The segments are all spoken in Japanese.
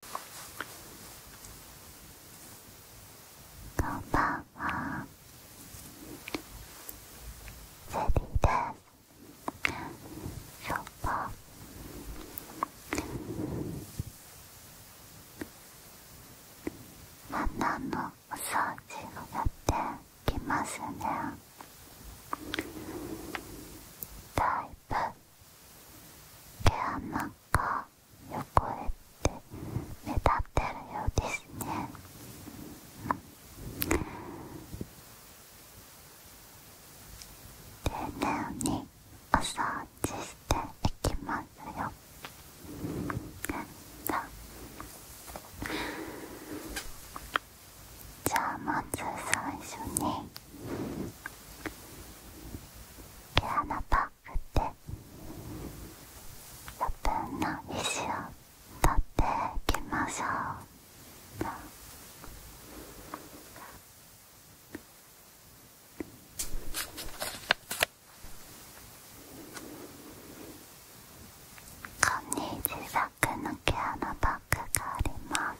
こんばんはゼリーですショッパのお掃除をやってきますねだいぶ毛穴が汚れて目立ってるようですね。丁寧にお掃していきますよ。じゃあまず最初に毛穴パックで、余分な石を取っていきましょうこんにちは、この毛穴パックがあります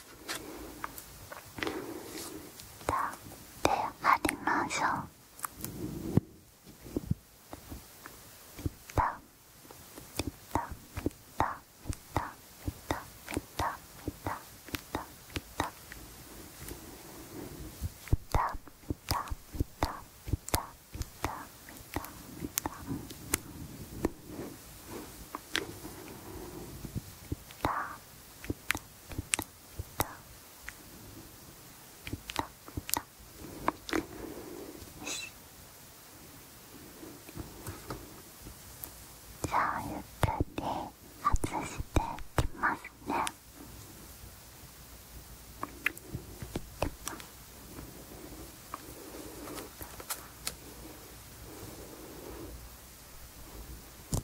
ってありましょうピタピタピタピタピタピタピタピタピタピタピタピタピタピタピタピタピタじゃあゆっくり外していきますねで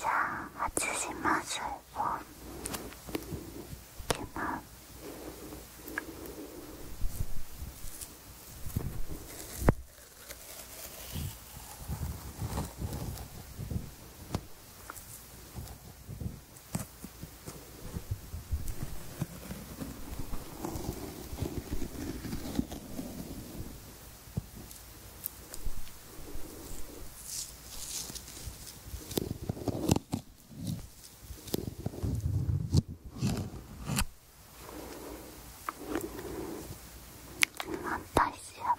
じゃあ外しますよいきます私は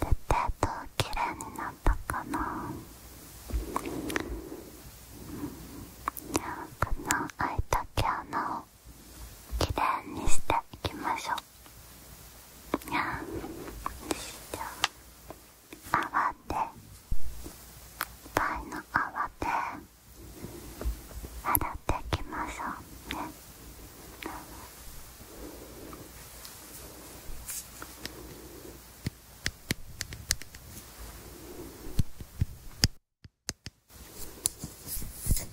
絶対と綺麗になったかなこの開いた毛穴をきれいにしていきましょうにゃんして泡でパイの泡で洗っていきましょうねで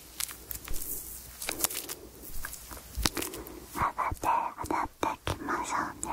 上がって上がっていきましょうね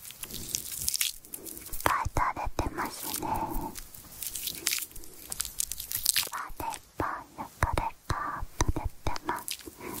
ぱい垂れてますねあれいっぱい汚れが垂れてます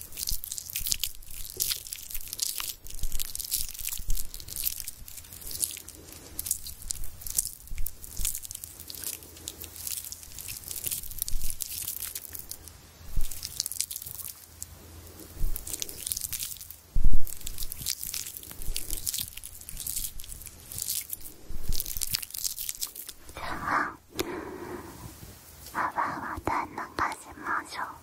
じゃあ泡を垂かしましょう。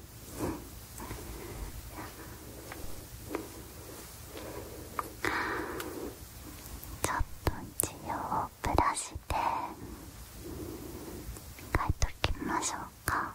ちょっと治療をブラシで描いときましょうか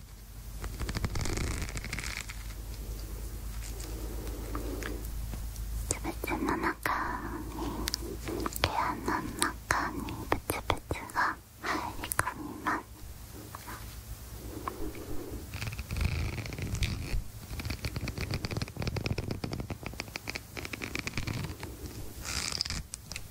つぶつの中に毛穴の中にブツブツが入り込みます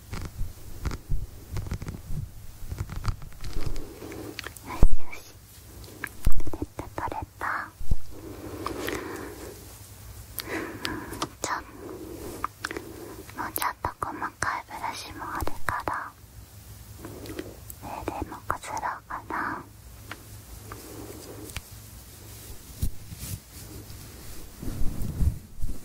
よしよし。取れた取れたちょっと。もうちょっと細かいブラシもあるからそれでもこすろうかなよ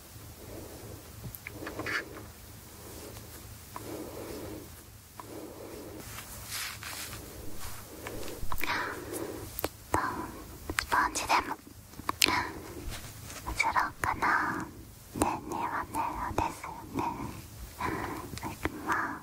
とスポンジでももちろんかな年えはねえですよねい きます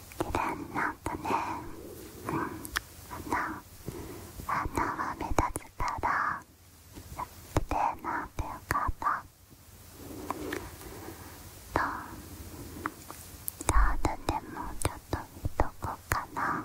綺麗になったねうん鼻鼻は目立つから綺麗になってよかったとじゃあでもちょっと見とこうかなうん。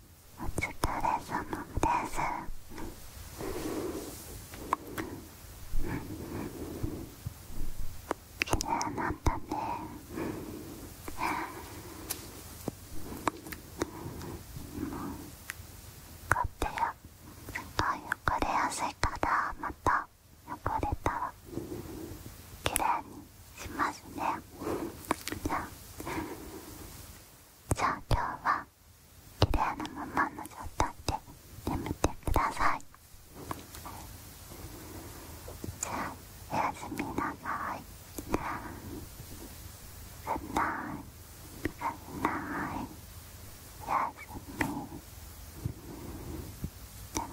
お疲れ様です綺麗になんだねもうこってやちょっと汚れやすいからまた汚れたら綺麗にしますねじゃあじゃあ今日は綺麗なままの状態で眠ってくださいじゃあおやすみなさいじゃあぐんないぐんないおやすみじゃあ